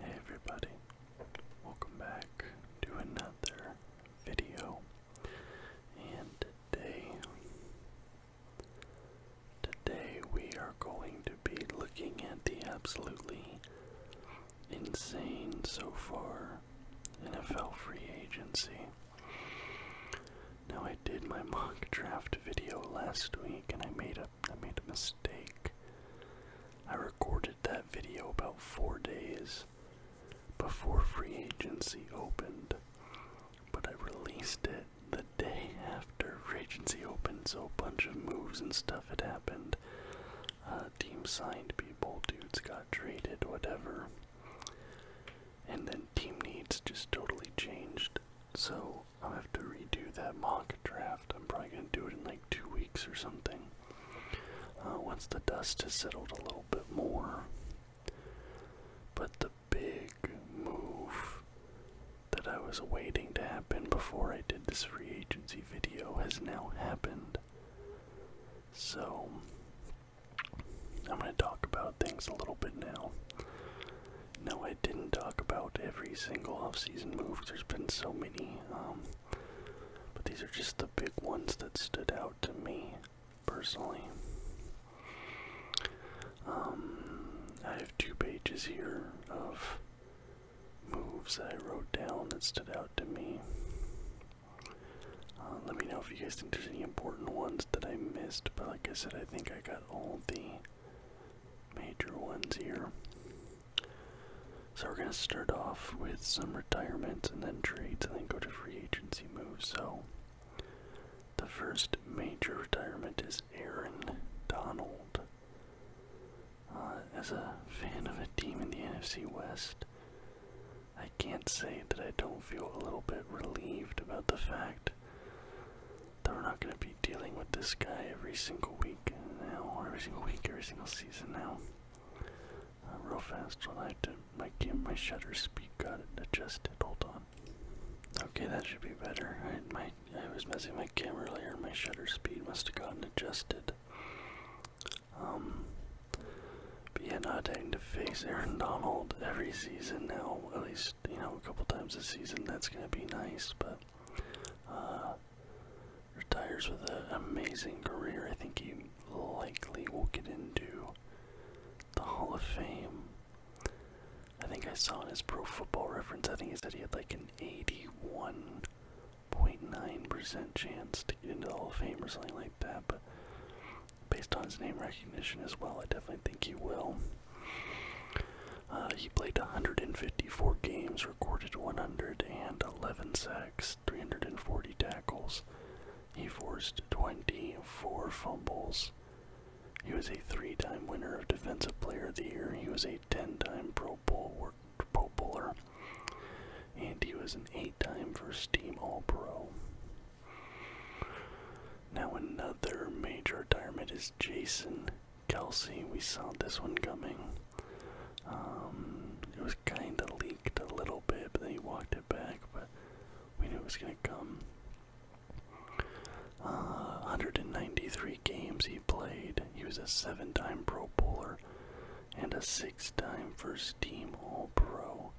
Hey everybody, welcome back to another video. And today, today we are going to be looking at the absolutely insane so far NFL free agency. Now I did my mock draft video last week and I made up. I made a mistake. I recorded that video about four days before free agency opened, but I released it the day after free agency opened, so a bunch of moves and stuff had happened. Uh, teams signed people, dudes got traded, whatever. And then team needs just totally changed. So I'll have to redo that mock draft. I'm probably going to do it in like two weeks or something. Uh, once the dust has settled a little bit more. But the big move that I was waiting to happen before I did this free agency video has now happened. So, I'm going to talk about things a little bit now. No, I didn't talk about every single offseason move there's been so many, um, but these are just the big ones that stood out to me personally. Um, I have two pages here of moves that I wrote down that stood out to me. Uh, let me know if you guys didn't do any important ones that I missed, but like I said, I think I got all the major ones here. So we're gonna start off with some retirement and then trades and then go to free agency moves. So the first major retirement is Aaron Donald. Uh, as a fan of a team in the NFC West, I can't say that I don't feel a little bit relieved about the fact that we're not going to be dealing with this guy every single week now, every single week, every single season now. Uh, real fast, I'll have to my game, my shutter speed got adjusted. Hold on. Okay, that should be better. I, my I was messing my camera earlier. My shutter speed must have gotten adjusted. Um, but yeah, not having to face Aaron Donald every season now. At least you know a couple times a season. That's gonna be nice, but. Uh, retires with an amazing career. I think he likely will get into the Hall of Fame. I think I saw in his pro football reference, I think he said he had like an 81.9% chance to get into the Hall of Fame or something like that, but based on his name recognition as well, I definitely think he will. Uh, he played 154 games, recorded 111 sacks, 340 tackles. He forced 24 fumbles. He was a three-time winner of Defensive Player of the Year. He was a 10-time Pro Bowl Pro Bowler, and he was an eight-time First Team All-Pro. Now another major retirement is Jason Kelsey, we saw this one coming. Um, it was kind of leaked a little bit, but then he walked it back, but we knew it was going to come. Uh, 193 games he played. He was a seven time Pro Bowler and a six time first team All Pro.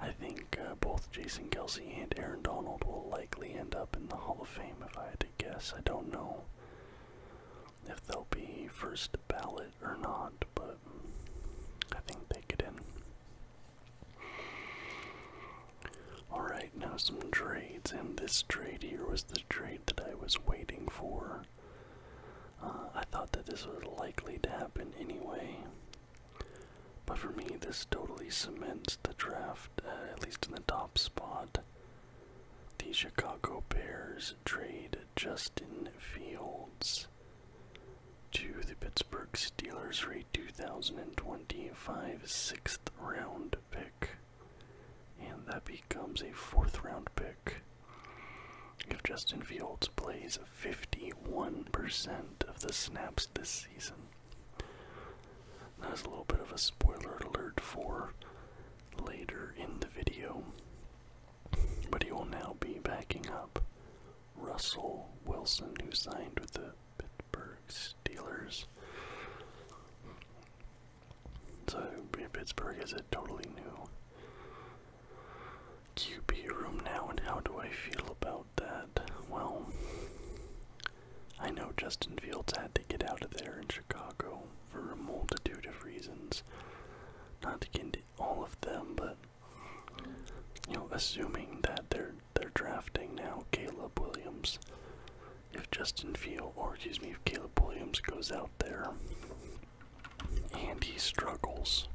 I think uh, both Jason Kelsey and Aaron Donald will likely end up in the Hall of Fame if I had to guess. I don't know if they'll be first ballot or not, but I think they get in. Alright, now some trades, and this trade here was the trade that I was waiting for. Uh, I thought that this was likely to happen anyway, but for me, this totally cements the draft, uh, at least in the top spot. The Chicago Bears trade Justin Fields to the Pittsburgh Steelers for a 2025 sixth round pick. And that becomes a fourth round pick. If Justin Fields plays 51% of the snaps this season. That is a little bit of a spoiler alert for later in the video. But he will now be backing up Russell Wilson, who signed with the Pittsburgh Steelers. So Pittsburgh is a totally new QB room now, and how do I feel about that? Well, I know Justin Fields had to get out of there and. Chicago for a multitude of reasons. Not to get into all of them, but you know, assuming that they're they're drafting now Caleb Williams. If Justin Field, or excuse me, if Caleb Williams goes out there and he struggles,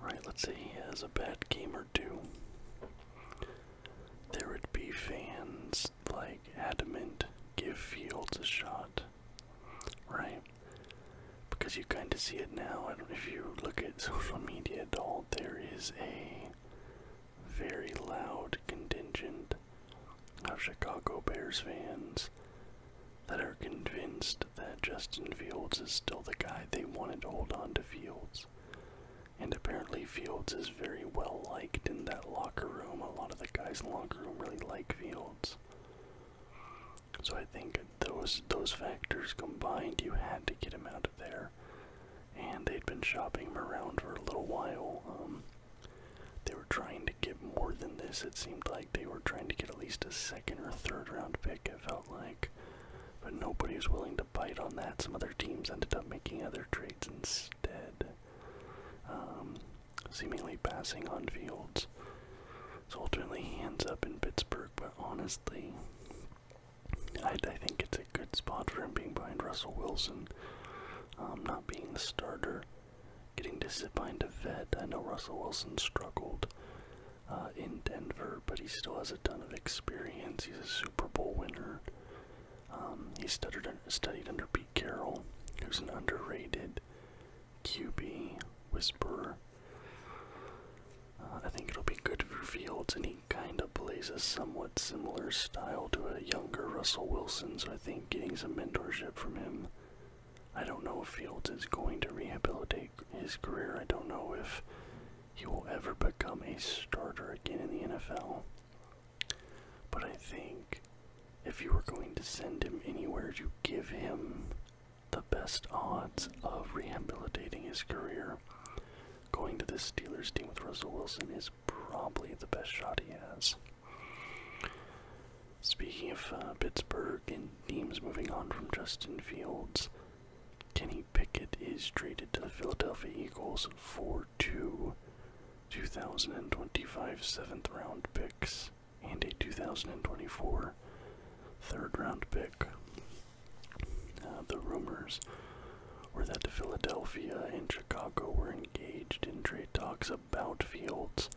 right? Let's say he has a bad game or two. There would be fans like adamant give Fields a shot, right? Because you kind of see it now. I don't, if you look at social media at all, there is a very loud contingent of Chicago Bears fans that are convinced that Justin Fields is still the guy they wanted to hold on to Fields. And apparently Fields is very well liked in that locker room. A lot of the guys in the locker room really like Fields. So I think those those factors combined, you had to get him out of there. And they'd been shopping him around for a little while. Um, they were trying to get more than this. It seemed like they were trying to get at least a second or third round pick. It felt like, but nobody was willing to bite on that. Some other teams ended up making other trades instead. Um, seemingly passing on Fields. So ultimately, he ends up in Pittsburgh. But honestly, I, I think it's a good spot for him being behind Russell Wilson, um, not being the starter, getting to sit behind a vet. I know Russell Wilson struggled uh, in Denver, but he still has a ton of experience. He's a Super Bowl winner. Um, he studied under Pete Carroll, who's an underrated QB whisperer. Uh, I think it'll be good for Fields, and he kind of plays a somewhat similar style to a younger Russell Wilson, so I think getting some mentorship from him. I don't know if Fields is going to rehabilitate his career. I don't know if he will ever become a starter again in the NFL. But I think if you were going to send him anywhere to give him the best odds of rehabilitating his career, going to the Steelers team with Russell Wilson is probably the best shot he has. Speaking of uh, Pittsburgh and teams moving on from Justin Fields, Kenny Pickett is traded to the Philadelphia Eagles for two 2025 seventh round picks and a 2024 third round pick. Uh, the rumors were that Philadelphia and Chicago were engaged in trade talks about Fields,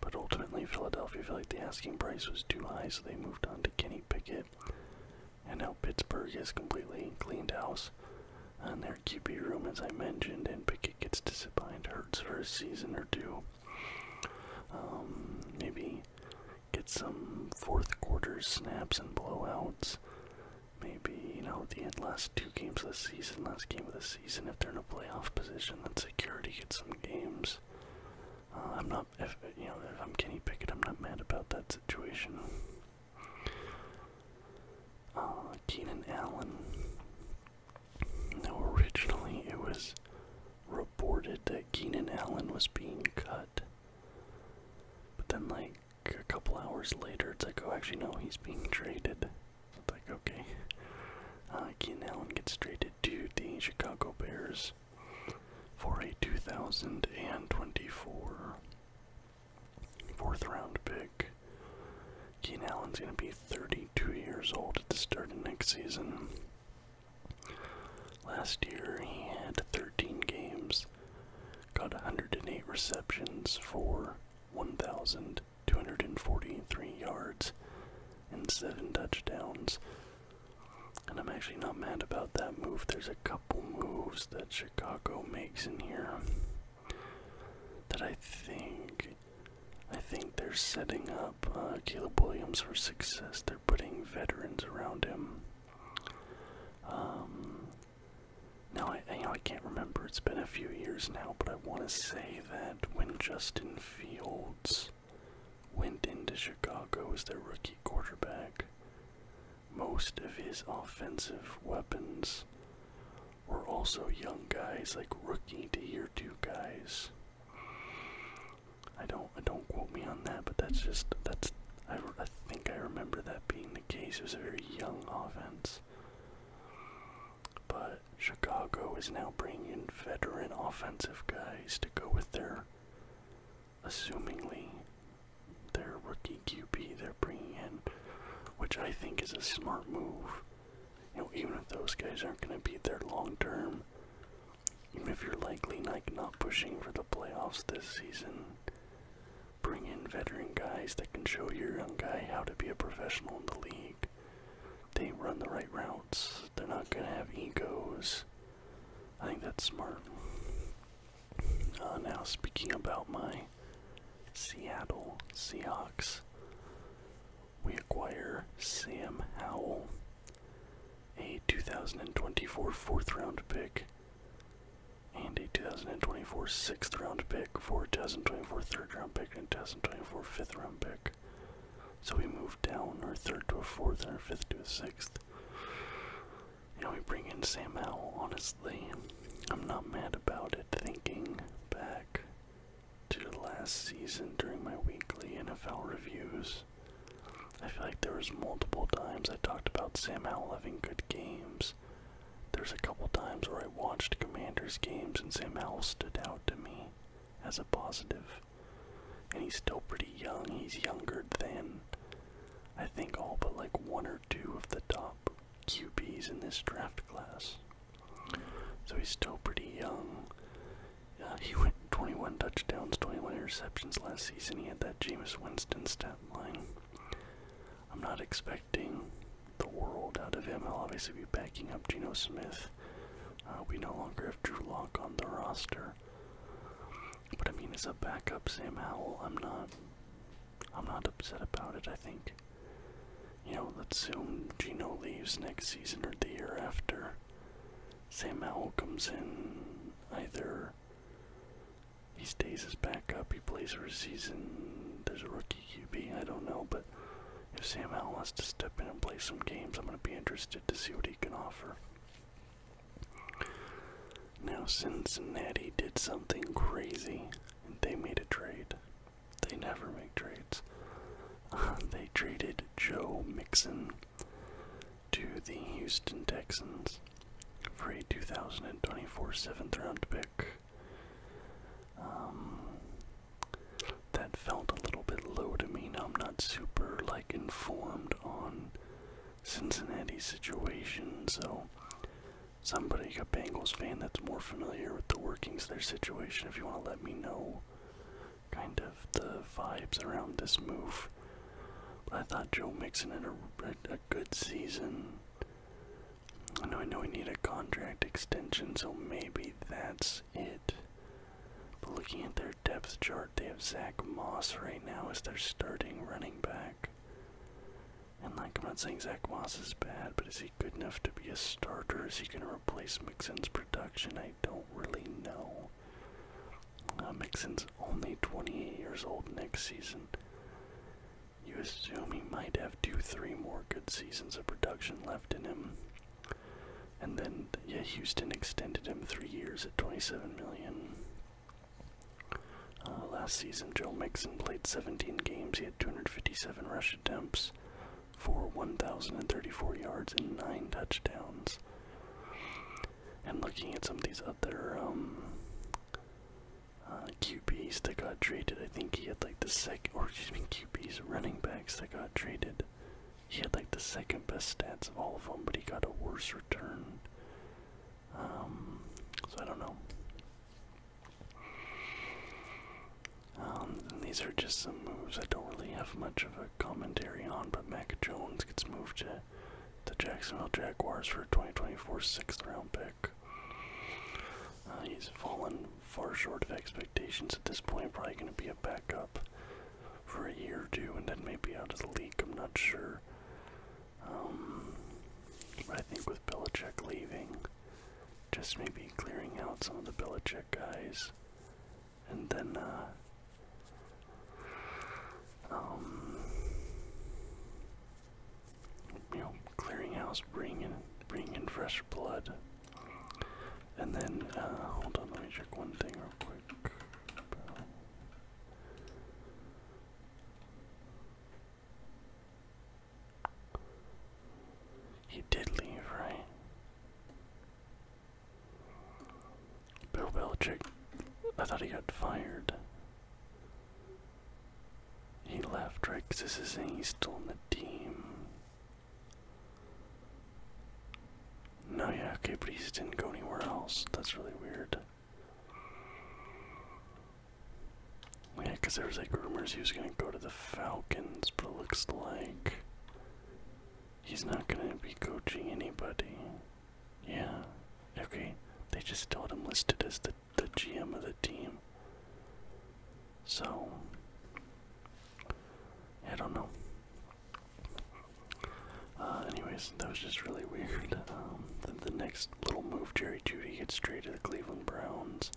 but ultimately Philadelphia felt the asking price was too high, so they moved on to Kenny Pickett. And now Pittsburgh has completely cleaned house Cardinals. And their QB room, as I mentioned, and Pickett gets to sit behind Hurts for a season or two. Um, maybe get some fourth quarter snaps and blowouts. Maybe, you know, at the end, last two games of the season, last game of the season, if they're in a playoff position, then security gets some games. Uh, I'm not, if, you know, if I'm Kenny Pickett, I'm not mad about that situation. Uh, Keenan Allen. Now, originally it was reported that Keenan Allen was being cut, but then, like, a couple hours later, it's like, oh, actually, no, he's being traded. It's like, okay. Uh, Keenan Allen gets traded to the Chicago Bears for a 2024 Fourth round pick. Keen Allen's going to be 32 years old at the start of next season. Last year he had 13 games, got 108 receptions for 1,243 yards and 7 touchdowns. And I'm actually not mad about that move. There's a couple moves that Chicago makes in here that I think I think they're setting up uh, Caleb Williams for success. They're putting veterans around him. Um, now I, I can't remember. It's been a few years now, but I want to say that when Justin Fields went into Chicago as their rookie quarterback, most of his offensive weapons were also young guys, like rookie to year two guys. I don't, I don't quote me on that, but that's just that's. I, I think I remember that being the case. It was a very young offense, but Chicago is now bringing in veteran offensive guys to go with their, assumingly, their rookie QB. They're bringing in which I think is a smart move. You know, even if those guys aren't going to be there long term, even if you're likely like not pushing for the playoffs this season, bring in veteran guys that can show your young guy how to be a professional in the league. They run the right routes. They're not going to have egos. I think that's smart. Uh, now, speaking about my Seattle Seahawks. We acquire Sam Howell, a 2024 fourth round pick, and a 2024 sixth round pick for a 2024 third round pick and a 2024 fifth round pick. So we move down our third to a fourth and our fifth to a sixth. You we bring in Sam Howell, honestly. I'm not mad about it. Thinking back to last season during my weekly NFL reviews, I feel like there was multiple times I talked about Sam Howell having good games. There's a couple times where I watched Commanders games and Sam Howell stood out to me as a positive. And he's still pretty young. He's younger than I think all but like one or two of the top QBs in this draft class. So he's still pretty young. Uh, he went 21 touchdowns, 21 interceptions last season. He had that Jameis Winston stat line. I'm not expecting the world out of him. he will obviously be backing up Geno Smith. Uh, we no longer have Drew Lock on the roster. But I mean, as a backup, Sam Howell, I'm not I'm not upset about it. I think, you know, let's assume Gino leaves next season or the year after. Sam Howell comes in. Either he stays as backup, he plays for a season, there's a rookie QB, I don't know, but if Sam Howell wants to step in and play some games, I'm going to be interested to see what he can offer. Now, Cincinnati did something crazy, and they made a trade. They never make trades. they traded Joe Mixon to the Houston Texans for a 2024 seventh round pick. Um, that felt a little bit low to me. Now I'm not super like informed on Cincinnati's situation, so somebody, a Bengals fan that's more familiar with the workings of their situation, if you want to let me know kind of the vibes around this move. I thought Joe Mixon had a, a good season. I know I know we need a contract extension, so maybe that's it. But looking at their depth chart, they have Zach Moss right now as their starting running back. And like, I'm not saying Zach Moss is bad, but is he good enough to be a starter? Is he going to replace Mixon's production? I don't really know. Uh, Mixon's only 28 years old next season. You assume he might have two, three more good seasons of production left in him. And then, yeah, Houston extended him three years at 27 million. Uh, last season, Joe Mixon played 17 games. He had 257 rush attempts, for 1,034 yards and 9 touchdowns. And looking at some of these other um, uh, QBs that got traded, I think he had like the second, or just me, QBs, running backs that got traded. He had like the second best stats of all of them, but he got a worse return. Um, so I don't know. Um, these are just some moves I don't really have much of a commentary on, but Mac Jones gets moved to the Jacksonville Jaguars for a 2024 sixth round pick. Uh, he's fallen far short of expectations at this point, probably going to be a backup for a year or two and then maybe out of the league, I'm not sure. Um, but I think with Belichick leaving, just maybe clearing out some of the Belichick guys. And then, uh, um, you know, clearing house, bringing in, bringing fresh blood. And then, uh, hold on, let me check one thing real quick. He did leave, right? Bill Belichick, I thought he got fired. He left, right? Because this is he's still in the team. No, yeah, okay, but he didn't go anywhere else. That's really weird. Yeah, because there was like rumors he was gonna go to the Falcons, but it looks like he's not gonna be coaching anybody. Yeah. Okay. They just told him listed as the the GM of the team. So I don't know. Uh, anyways, that was just really weird. Um, the, the next little move, Jerry Judy gets straight to the Cleveland Browns.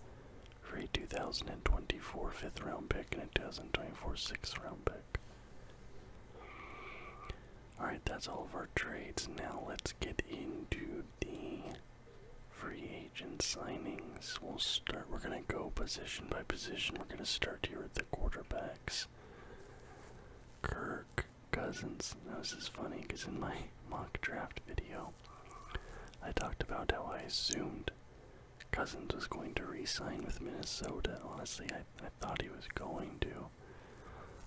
Free a 2024 fifth round pick and a 2024 sixth round pick. Alright, that's all of our trades. Now let's get into the free agent signings. We'll start, we're going to go position by position. We're going to start here at the quarterbacks. Kirk Cousins. Now, this is funny because in my mock draft video, I talked about how I assumed Cousins was going to re sign with Minnesota. Honestly, I, I thought he was going to.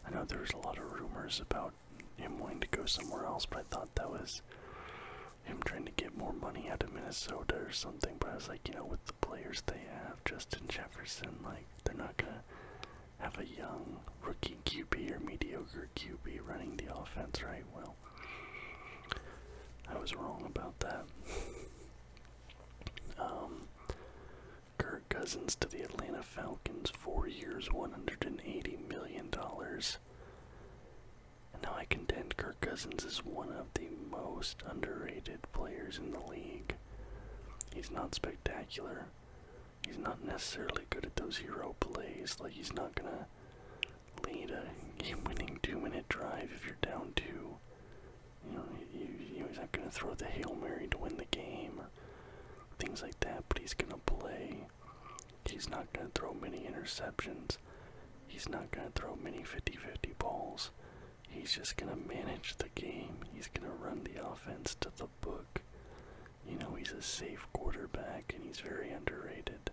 I know there was a lot of rumors about him wanting to go somewhere else, but I thought that was him trying to get more money out of Minnesota or something. But I was like, you know, with the players they have, Justin Jefferson, like, they're not going to have a young rookie QB or mediocre QB running the offense, right? I was wrong about that. um, Kirk Cousins to the Atlanta Falcons, four years, $180 million. now I contend Kirk Cousins is one of the most underrated players in the league. He's not spectacular. He's not necessarily good at those hero plays. Like, he's not gonna lead a game-winning two-minute drive if you're down two. You know, you, you, he's not going to throw the hail mary to win the game, or things like that. But he's going to play. He's not going to throw many interceptions. He's not going to throw many 50-50 balls. He's just going to manage the game. He's going to run the offense to the book. You know, he's a safe quarterback and he's very underrated.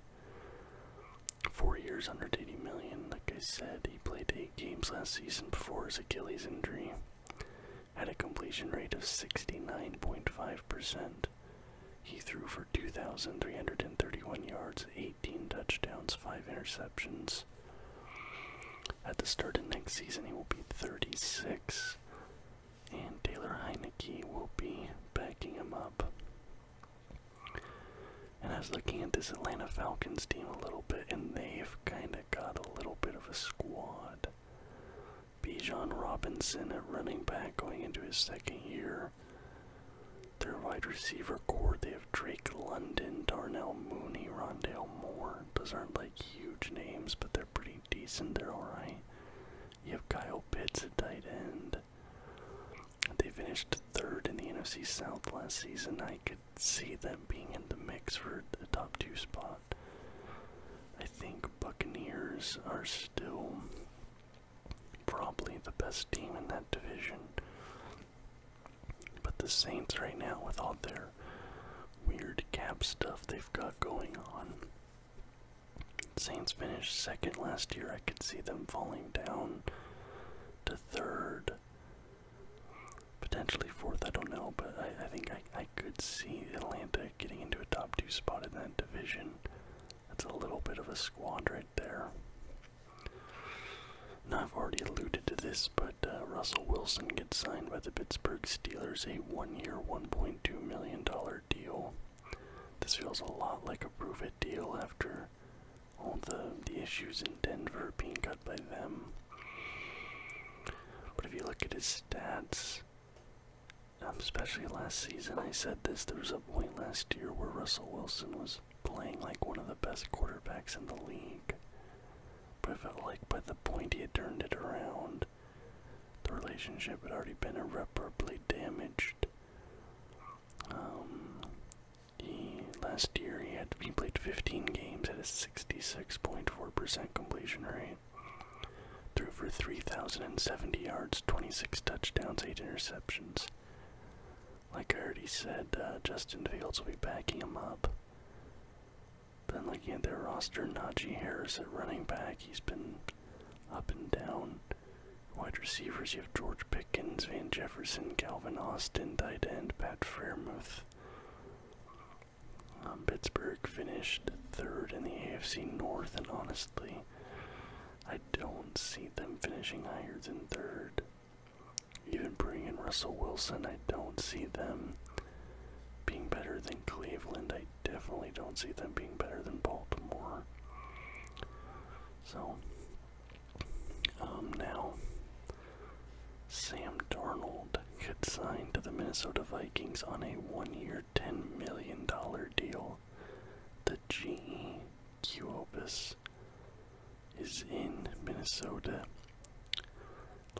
Four years, under eighty million. Like I said, he played eight games last season before his Achilles injury. Had a completion rate of 69.5%. He threw for 2,331 yards, 18 touchdowns, 5 interceptions. At the start of next season, he will be 36, and Taylor Heineke will be backing him up. And I was looking at this Atlanta Falcons team a little bit, and they've kind of got a little bit of a squad. Bijan Robinson at running back going into his second year. Their wide receiver core, they have Drake London, Darnell Mooney, Rondale Moore. Those aren't like huge names, but they're pretty decent. They're alright. You have Kyle Pitts at tight end. They finished third in the NFC South last season. I could see them being in the mix for the top two spot. I think Buccaneers are still probably the best team in that division. But the Saints right now with all their weird cap stuff they've got going on Saints finished second last year. I could see them falling down to third, potentially fourth. I don't know, but I, think I, could see Atlanta getting into a top two spot in that division. That's a little bit of a squad right there. Now, I've already alluded to this, but uh, Russell Wilson gets signed by the Pittsburgh Steelers, a one year, $1.2 million deal. This feels a lot like a prove it deal after all the the issues in Denver being cut by them. But if you look at his stats, um, especially last season, I said this. There was a point last year where Russell Wilson was playing like one of the best quarterbacks in the league. But I felt like by the point he had turned it around, the relationship had already been irreparably damaged. Um, he, last year he had to be played 15 games at a 66.4% completion rate. Threw for 3,070 yards, 26 touchdowns, 8 interceptions. Like I already said, uh, Justin Fields will be backing him up. Then looking at their roster, Najee Harris at running back, he's been up and down. Wide receivers, you have George Pickens, Van Jefferson, Calvin Austin, tight end, Pat Fairmouth. Um, Pittsburgh finished third in the AFC North, and honestly, I don't see them finishing higher than third. Even bringing in Russell Wilson, I don't see them being better than Cleveland. I definitely don't see them being better than Baltimore. So um, now Sam Darnold could sign to the Minnesota Vikings on a one-year, ten million dollar deal. The GE Qopus is in Minnesota.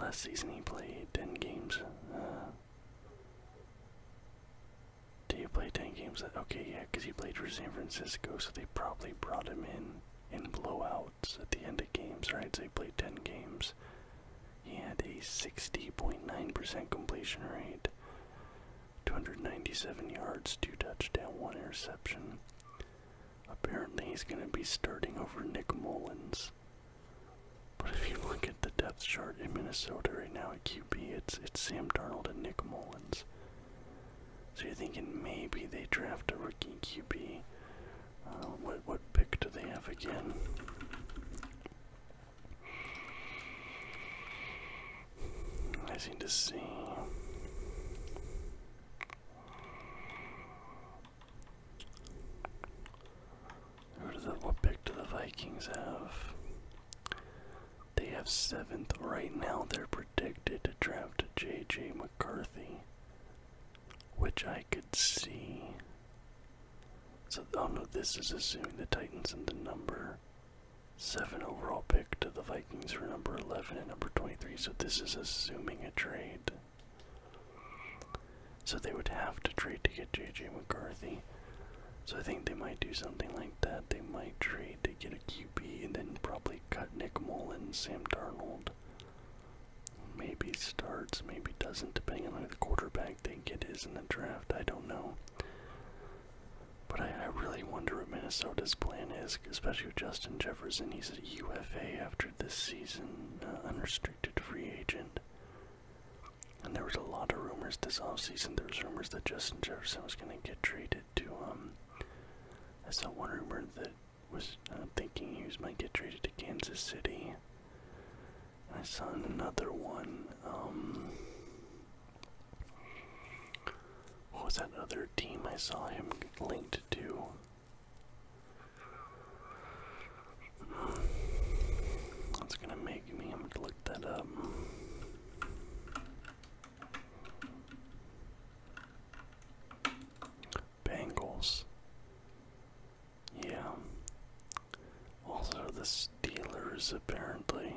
Last season he played ten games. Uh, do you play 10 games? okay, yeah, because he played for San Francisco, so they probably brought him in in blowouts at the end of games, right? So he played 10 games. He had a 60.9% completion rate, 297 yards, 2 touchdowns, 1 interception. Apparently, he's going to be starting over Nick Mullins. But if you look at the depth chart in Minnesota right now at QB, it's it's Sam Darnold and Nick Mullins. So you're thinking maybe they draft a rookie QB. Uh, what what pick do they have again? I seem to see. what pick do the Vikings have? They have seventh right now. They're predicted to draft J.J. McCarthy, which I could see. So, oh no, this is assuming the Titans and the number seven overall pick to the Vikings for number eleven and number twenty-three. So this is assuming a trade. So they would have to trade to get J.J. McCarthy. So I think they might do something like that. They might trade to get a QB and then probably cut Nick Mullins, Sam Darnold. Maybe starts, maybe doesn't, depending on who the quarterback they get is in the draft. I don't know. But I, I really wonder what Minnesota's plan is, especially with Justin Jefferson. He's a UFA after this season, uh, unrestricted free agent. And there was a lot of rumors this offseason. There was rumors that Justin Jefferson was going to get traded to um I saw one rumor that was uh, thinking Hughes might get traded to Kansas City. I saw another one. Um, what was that other team I saw him linked to? That's gonna make me. i to look that up. Bengals. Yeah. Also, the Steelers, apparently.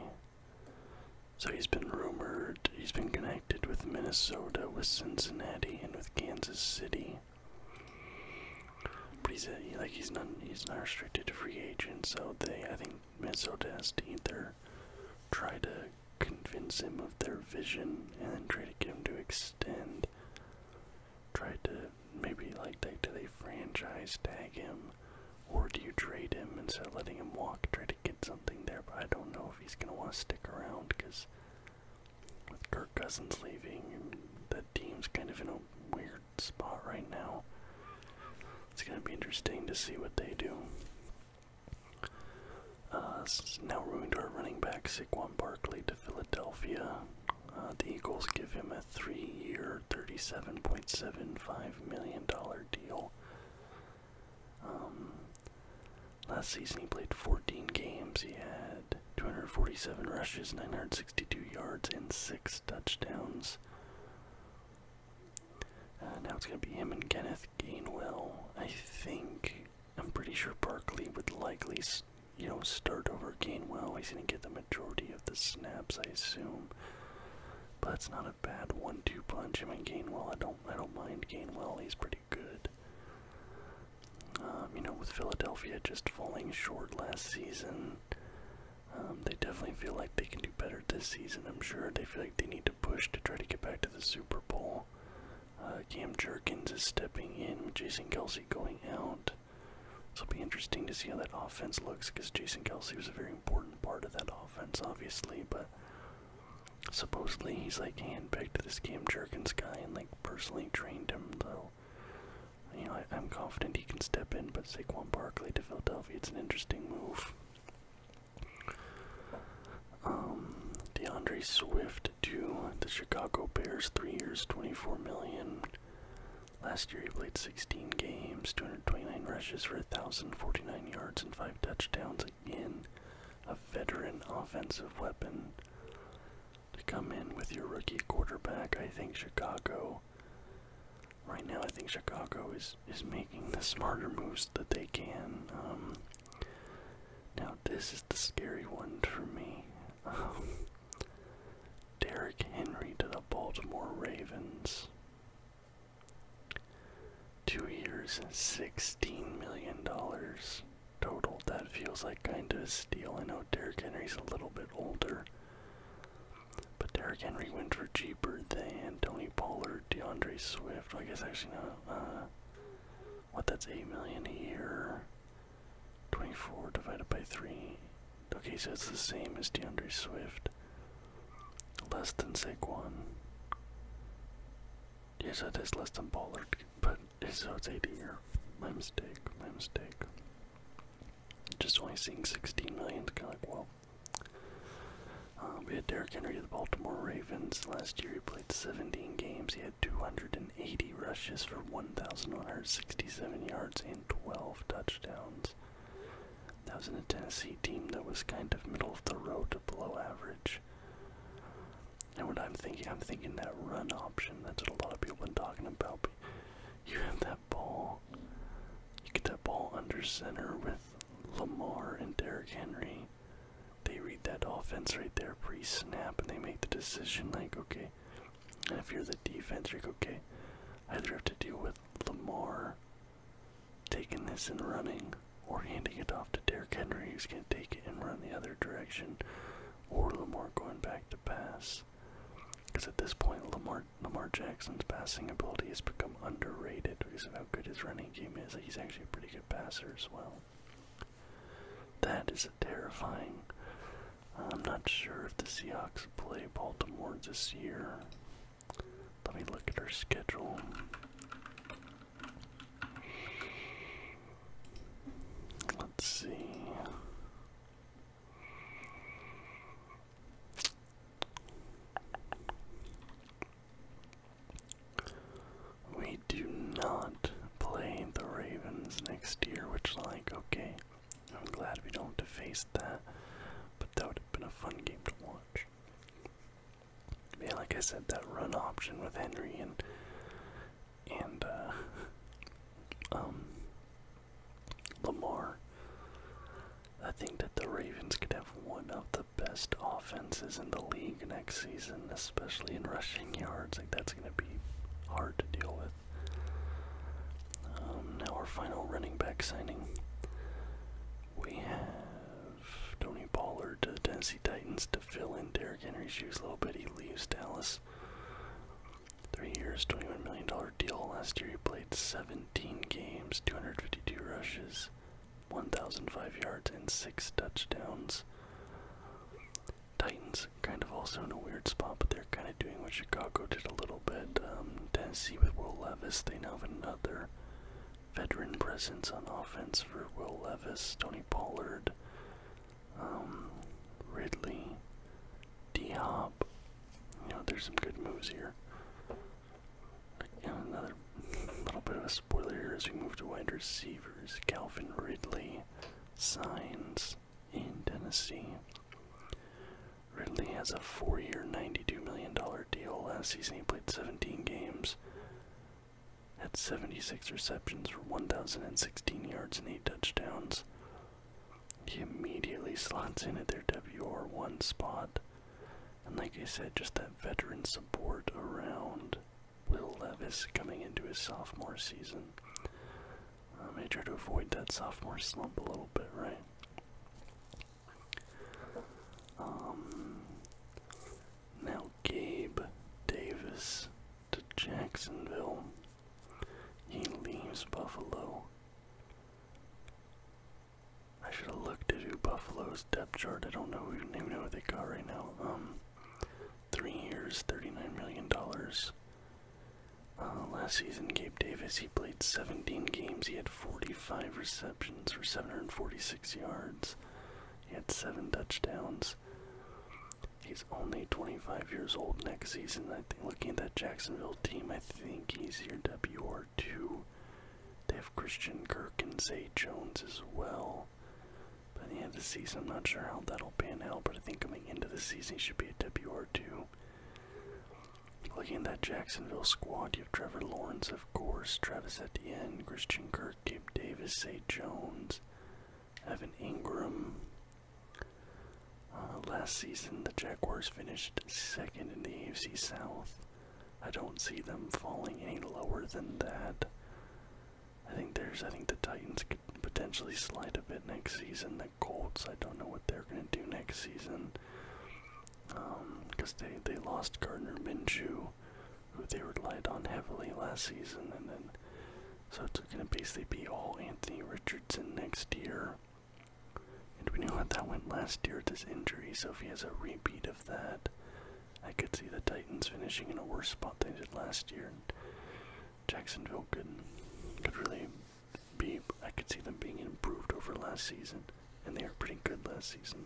So he's been rumored, he's been connected with Minnesota, with Cincinnati, and with Kansas City. But he's like he's not he's not restricted to free agents, so they I think Mesodest either try to convince him of their vision and then try to get him to extend. Try to maybe like they do they franchise tag him or do you trade him instead of letting him walk? Try to get something there, but I don't know if he's gonna want to stick around because with Kirk Cousins leaving, the team's kind of in a weird spot right now. It's going to be interesting to see what they do. Uh, now we're moving to our running back Saquon Barkley to Philadelphia. Uh, the Eagles give him a three-year, $37.75 million deal. Um, last season he played 14 games. He had 247 rushes, 962 yards, and six touchdowns. Uh, now it's going to be him and Kenneth Gainwell. I think I'm pretty sure Berkeley would likely, you know, start over Gainwell. He's going to get the majority of the snaps, I assume. But it's not a bad one-two punch. Him and Gainwell. I don't. I don't mind Gainwell. He's pretty good. Um, you know, with Philadelphia just falling short last season, um, they definitely feel like they can do better this season, I'm sure. They feel like they need to push to try to get back to the Super Bowl. Uh, Cam Jerkins is stepping in, Jason Kelsey going out. So it'll be interesting to see how that offense looks because Jason Kelsey was a very important part of that offense, obviously. But supposedly he's like handpicked this Cam Jerkins guy and like personally trained him. So you know I, I'm confident he can step in. But Saquon Barkley to Philadelphia, it's an interesting move. Um, DeAndre Swift to the Chicago Bears, three years, 24 million. Last year he played 16 games, 229 rushes for 1,049 yards and five touchdowns. Again, a veteran offensive weapon to come in with your rookie quarterback. I think Chicago right now I think Chicago is is making the smarter moves that they can. Um, now this is the scary one for me. Um, Derrick Henry to the Baltimore Ravens. Two years, sixteen million dollars total. That feels like kind of a steal. I know Derrick Henry's a little bit older, but Derrick Henry went for cheaper than Tony Tony DeAndre Swift. I guess actually not. Uh, what? That's eight million a year. Twenty-four divided by three. Okay, so it's the same as DeAndre Swift. Less than Saquon. Yes, yeah, so less than Pollard, but so it's eight a year. My mistake. My mistake. Just only seeing sixteen million. Kind of like well. Uh, we had Derrick Henry of the Baltimore Ravens. Last year he played 17 games. He had 280 rushes for 1,167 yards and 12 touchdowns. That was in a Tennessee team that was kind of middle of the road below average. And what I'm thinking, I'm thinking that run option. That's what a lot of people have been talking about. you have that ball. You get that ball under center with Lamar and Derrick Henry, they read that offense right there pre snap and they make the decision like, okay, and if you're the defense, you're okay, either have to deal with Lamar taking this and running or handing it off to Derrick Henry who's going to take it and run the other direction or Lamar going back to pass. Because at this point, Lamar, Lamar Jackson's passing ability has become underrated because of how good his running He's actually a pretty good passer as well. That is terrifying. I'm not sure if the Seahawks play Baltimore this year. Let me look at our schedule. Let's see. We do not play the Ravens next year, which, like, okay, I'm glad we don't have to face that, but that would have been a fun game to watch. Yeah, like I said, that run option with Henry and and uh, um, Lamar. I think that the Ravens could have one of the best offenses in the league next season, especially in rushing yards. Like that's gonna be hard to deal with. Um, now our final running back signing. We have Tony Pollard to the Tennessee Titans to fill in Derrick Henry's shoes a little bit. He leaves Dallas. Three years, $21 million deal. Last year he played 17 games, 252 rushes, 1,005 yards and six touchdowns. Titans kind of also in a weird spot, but they're kind of doing what Chicago did a little bit. Um, Tennessee with Will Levis, they now have another veteran presence on offense for Will Levis, Tony Pollard, um, Ridley, D Hop. You know, there's some good moves here another little bit of a spoiler here as we move to wide receivers. Calvin Ridley signs in Tennessee. Ridley has a four year, $92 million deal. Last season, he played 17 games, had 76 receptions for 1,016 yards and 8 touchdowns. He immediately slots in at their WR1 spot and like I said, just that veteran support around Will Levis coming into his sophomore season. Um, I made sure to avoid that sophomore slump a little bit, right? Um, now Gabe Davis to Jacksonville. He leaves Buffalo. I should have looked at who Buffalo's depth chart. I don't know. We don't even know what they got right now. Um, three years, thirty-nine million dollars. Uh, last season, Gabe Davis he played seventeen games. He had forty-five receptions for seven hundred forty-six yards. He had seven touchdowns. He's only twenty-five years old next season. I think looking at that Jacksonville team, I think he's your WR two. They have Christian Kirk and Zay Jones as well. By the end of the season, I'm not sure how that'll pan out, but I think coming into the season, he should be a WR2. Looking at that Jacksonville squad, you have Trevor Lawrence, of course, Travis Etienne, Christian Kirk, Gabe Davis, Zay Jones, Evan Ingram. Uh, last season, the Jaguars finished second in the AFC South. I don't see them falling any lower than that. I think there's I think the Titans could potentially slide a bit next season. The Colts, I don't know what they're gonna do next season. Um, because they, they lost Gardner Minshew, who they relied on heavily last season, and then so it's gonna basically be all Anthony Richardson next year. And we know how that went last year with his injury, so if he has a repeat of that, I could see the Titans finishing in a worse spot than they did last year. And Jacksonville could could really be. I could see them being improved over last season, and they are pretty good last season.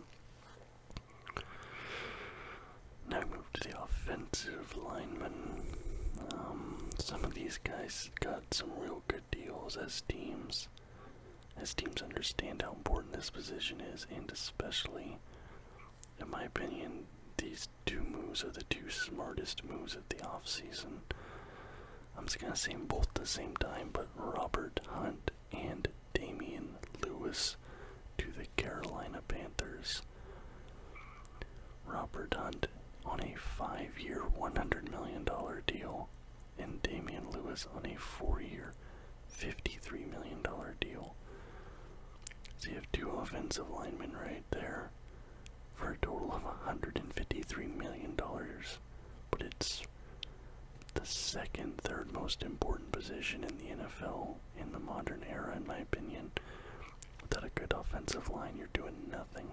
Now we move to the offensive linemen. Um, some of these guys got some real good deals as teams as teams understand how important this position is, and especially, in my opinion, these two moves are the two smartest moves of the offseason. I'm just going to say them both at the same time, but Robert Hunt and Damian Lewis to the Carolina Panthers. Robert Hunt on a five year, $100 million deal and Damian Lewis on a four-year, $53 million deal. So you have two offensive linemen right there for a total of $153 million. But it's the second, third most important position in the NFL in the modern era, in my opinion. Without a good offensive line, you're doing nothing.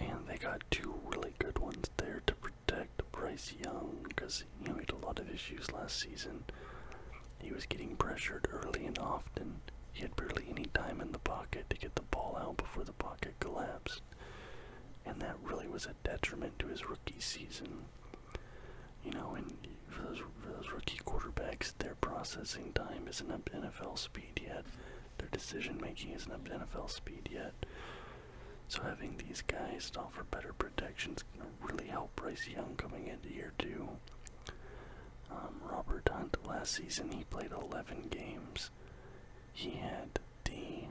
And they got two really good ones there to protect Bryce Young because you know, he had a lot of issues last season. He was getting pressured early and often. He had barely any time in the pocket to get the ball out before the pocket collapsed. And that really was a detriment to his rookie season. You know, and for those, for those rookie quarterbacks, their processing time isn't up to NFL speed yet. Their decision making isn't up to NFL speed yet. So having these guys to offer better protection is going to really help Bryce Young coming into year two. Um, Robert Hunt last season he played 11 games. He had the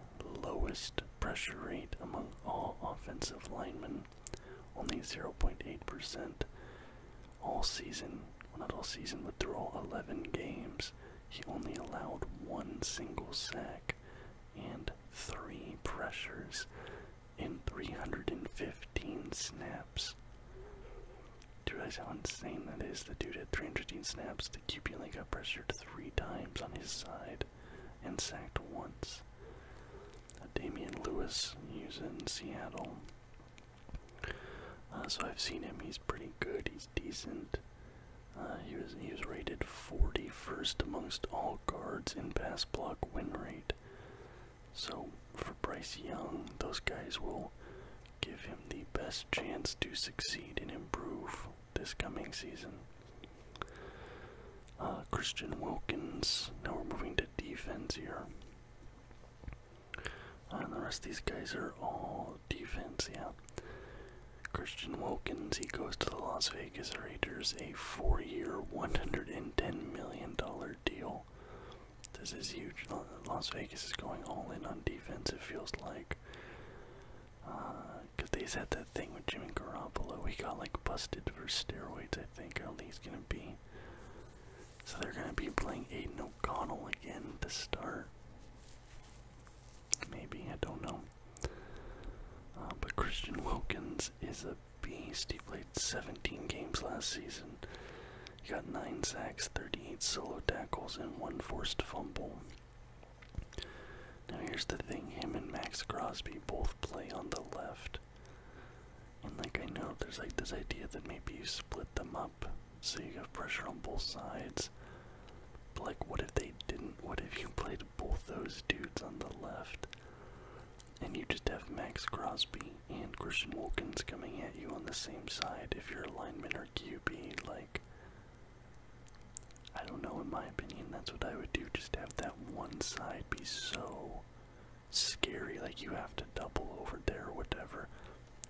lowest pressure rate among all offensive linemen, only 0.8% all season. Well, not all season, but through all 11 games, he only allowed one single sack and 3 pressures in 315 snaps. Do you realize how insane that is? The dude had 315 snaps, the QB only got pressured 3 times on his side and sacked once. Uh, Damian Lewis, he's in Seattle. Uh, so I've seen him, he's pretty good, he's decent. Uh, he was he was rated 41st amongst all guards in pass block win rate. So for Bryce Young, those guys will give him the best chance to succeed and improve this coming season. Uh, Christian Wilkins. Now we're moving to defense here. Uh, and the rest of these guys are all defense, yeah. Christian Wilkins, he goes to the Las Vegas Raiders, a four year, $110 million deal. This is huge. Las Vegas is going all in on defense, it feels like. Because uh, they had that thing with Jimmy Garoppolo. He got like busted for steroids, I think. I don't think he's going to be. So they're going to be playing Aiden O'Connell again to start. Maybe, I don't know. Uh, but Christian Wilkins is a beast. He played 17 games last season. He got 9 sacks, 38 solo tackles, and 1 forced fumble. Now, here's the thing him and Max Crosby both play on the left. And, like, I know there's like this idea that maybe you split them up so you have pressure on both sides. But, like, what if they didn't? What if you played both those dudes on the left. And you just have Max Crosby and Christian Wilkins coming at you on the same side if you're a lineman or QB. Like, I don't know, in my opinion, that's what I would do. Just have that one side be so scary, like you have to double over there or whatever.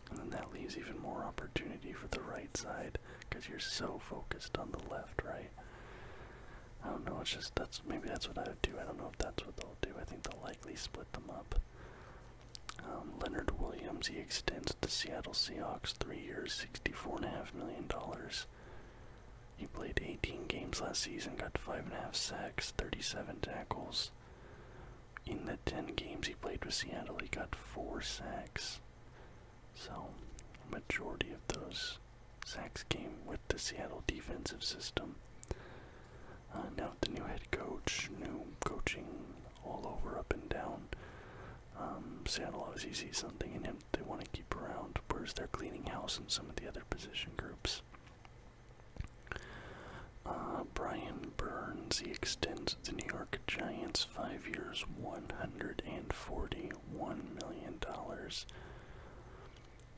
And then that leaves even more opportunity for the right side because you're so focused on the left, right? I don't know, it's just that's maybe that's what I would do. I don't know if that's what they'll do. I think they'll likely split them up. Um, Leonard Williams, he extends the Seattle Seahawks three years, sixty-four and a half million dollars. He played 18 games last season, got five and a half sacks, 37 tackles. In the 10 games he played with Seattle, he got four sacks. So, majority of those sacks came with the Seattle defensive system. Uh, now the new head coach, new coaching all over, up and down. Um, Seattle always sees something in him they want to keep around, whereas they're cleaning house in some of the other position groups. Uh, Brian Burns, he extends the New York Giants five years, 140 $21 million.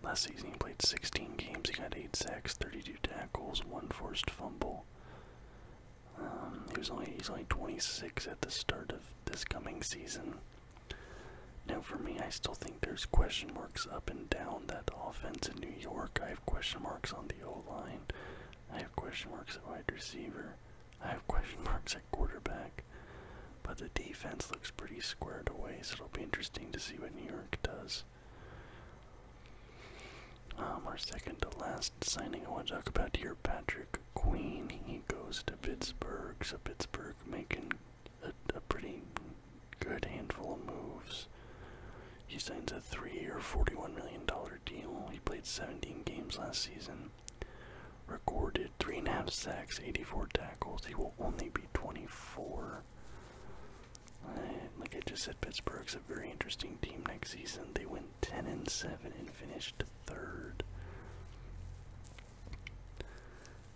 Last season he played 16 games, he got 8 sacks, 32 tackles, 1 forced fumble. Um, he was only, he's only 26 at the start of this coming season. Now for me, I still think there's question marks up and down that offense in New York. I have question marks on the O-line. I have question marks at wide receiver. I have question marks at quarterback, but the defense looks pretty squared away, so it'll be interesting to see what New York does. Um, our second to last signing I want to talk about here, Patrick Queen. He goes to Pittsburgh, so Pittsburgh making a, a pretty good handful of moves. He signs a three-year, $41 million deal. He played 17 games last season. Recorded three and a half sacks, 84 tackles. He will only be 24. like I just said, Pittsburgh's a very interesting team next season. They went 10 and 7 and finished third.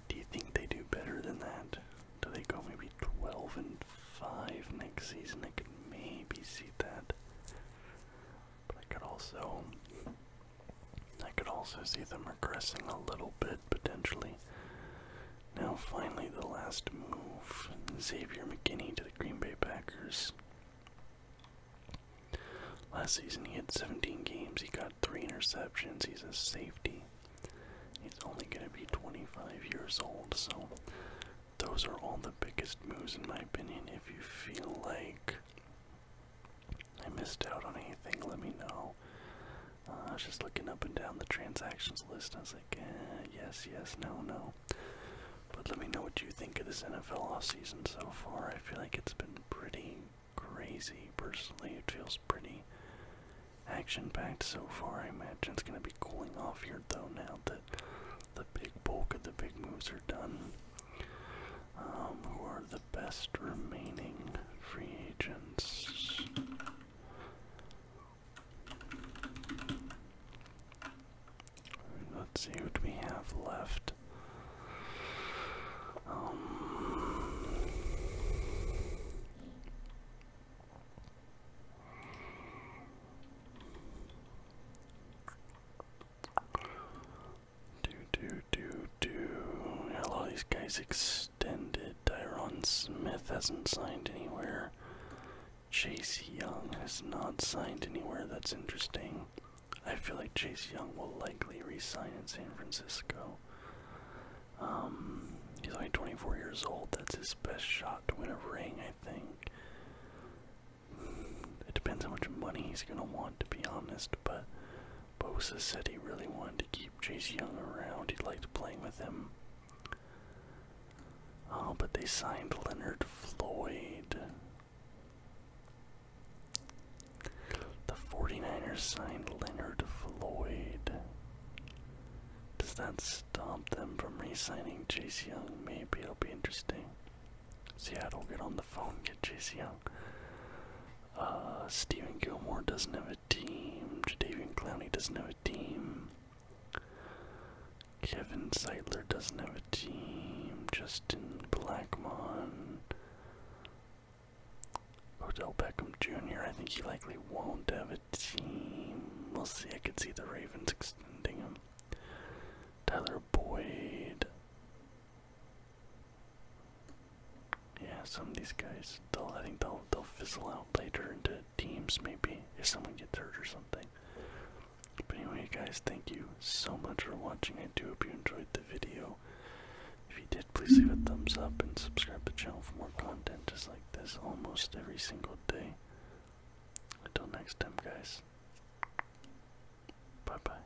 Do you think they do better than that? Do they go maybe 12 and 5 next season? I could maybe see that. But I could also I could also see them regressing a little bit potentially. Now, finally, the last move Xavier McKinney to the Green Bay Packers. Last season, he had 17 games, he got three interceptions, he's a safety. He's only going to be 25 years old, so those are all the biggest moves, in my opinion. If you feel like I missed out on anything, let me know. Uh, I was just looking up and down the transactions list. I was like, eh, yes, yes, no, no. But let me know what you think of this NFL offseason so far. I feel like it's been pretty crazy, personally. It feels pretty action-packed so far. I imagine it's going to be cooling off here, though, now that the big bulk of the big moves are done. Um, who are the best remaining free agents. Let's see what we have left. Um, do do do do. a lot of these guys extended. Tyron Smith hasn't signed anywhere. Chase Young has not signed anywhere. That's interesting. I feel like Chase Young will likely re-sign in San Francisco. Um, he's only 24 years old. That's his best shot to win a ring, I think. It depends how much money he's gonna want, to be honest. But Bosa said he really wanted to keep Chase Young around. He liked playing with him. Oh, but they signed Leonard Floyd. The 49ers signed Leonard Floyd. Does that stop them from re signing Chase Young? Maybe it'll be interesting. Seattle, get on the phone, get Chase Young. Uh, Stephen Gilmore doesn't have a team. Jadavian Clowney doesn't have a team. Kevin Seidler doesn't have a team. Justin Blackmon. Odell Beckham Jr. I think he likely won't have a team. We'll see. I could see the Ravens extending him. Tyler Boyd. Yeah, some of these guys, they'll, I think they'll, they'll fizzle out later into teams maybe if someone gets hurt or something. But anyway, guys, thank you so much for watching. I do hope you enjoyed the video. If you did, please leave a thumbs up and subscribe to the channel for more content just like this almost every single day. Until next time, guys. Bye bye.